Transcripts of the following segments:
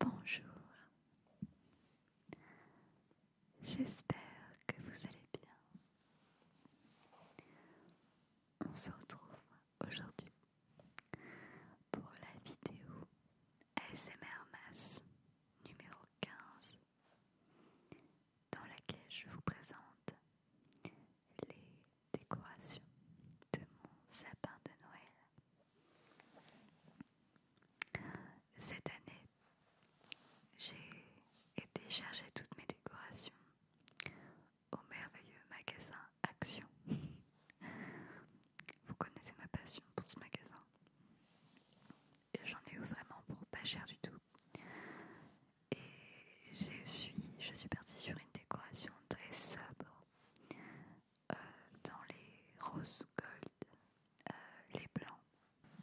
Bonjour, j'espère que vous allez bien. On se retrouve aujourd'hui pour la vidéo ASMR masse numéro 15 dans laquelle je vous présente les décorations de mon sapin de Noël. Cette année, j'ai été chercher toutes mes décorations au merveilleux magasin Action. Vous connaissez ma passion pour ce magasin j'en ai eu vraiment pour pas cher du tout. Et je suis, je suis partie sur une décoration très sobre euh, dans les roses gold, euh, les blancs,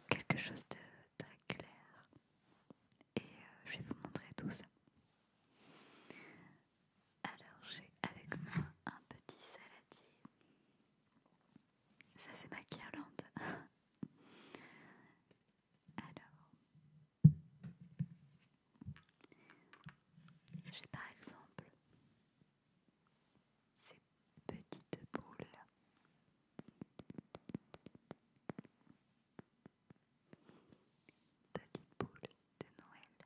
quelque chose de très clair. Et euh, je vais vous montrer tout ça. Alors j'ai avec moi un petit saladier ça c'est ma guirlande. Alors, j'ai par exemple ces petites boules. Petite boule de Noël.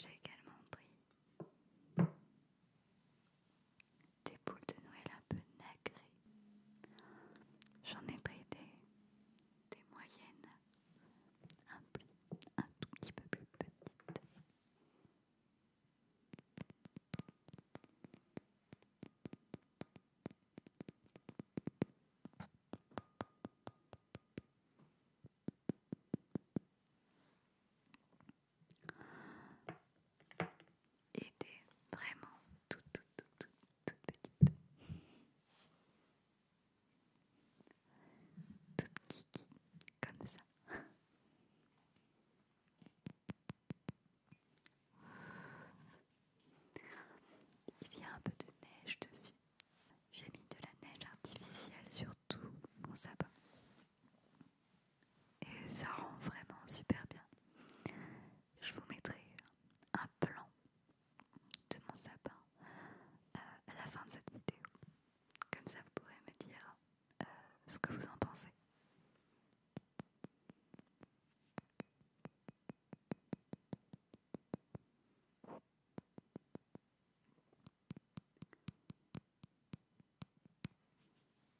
J'ai également pris des boules de Noël un peu nagrées. J'en ai pris des, moyennes, un, un tout petit peu plus petites était vraiment toute, toute, toute, petite. Toute kiki, comme ça. Il y a un peu de neige dessus. J'ai mis de la neige artificielle sur tout mon sapin. Et ça rend vraiment super bien. Je vous mettrai un plan de mon sapin euh, à la fin de cette vidéo. Comme ça, vous pourrez me dire euh, ce que vous en pensez.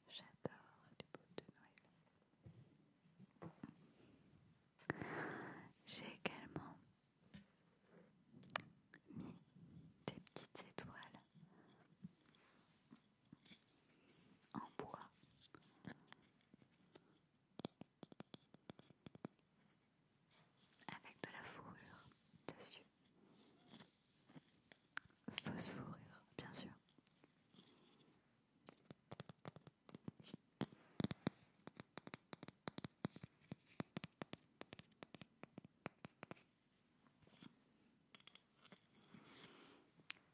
J'adore les boules de Noël. J'ai également mis des petites étoiles en bois. Avec de la fourrure dessus. Fausse fourrure, bien sûr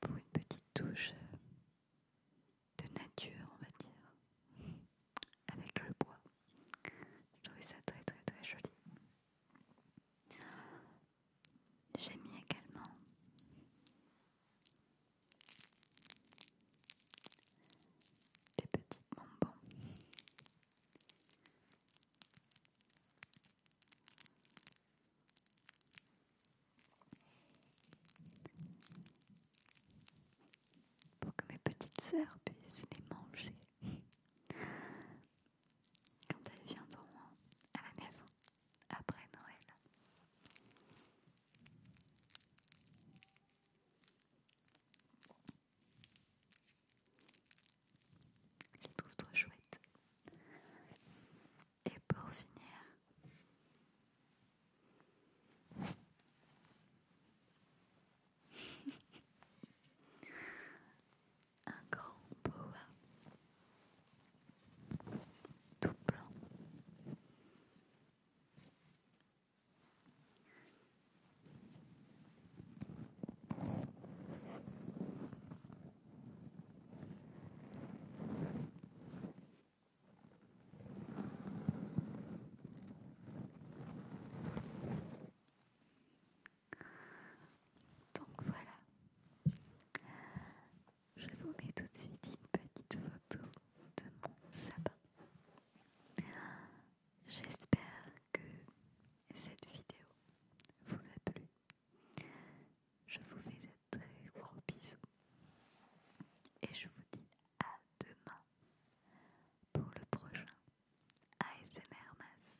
pour une petite touche de nature, on va dire, avec le bois. Je trouvé ça très très très joli. J'ai mis également des petits bonbons pour que mes petites sœurs puissent les manger quand elles viendront à la maison après Noël. Je trouve trop chouette. Et pour finir, un grand boa tout blanc donc voilà, je vous mets tout de suite une petite photo de mon sabin. J'espère que cette vidéo vous a plu. Je vous fais un très gros bisous et je vous dis à demain pour le prochain ASMR Mass.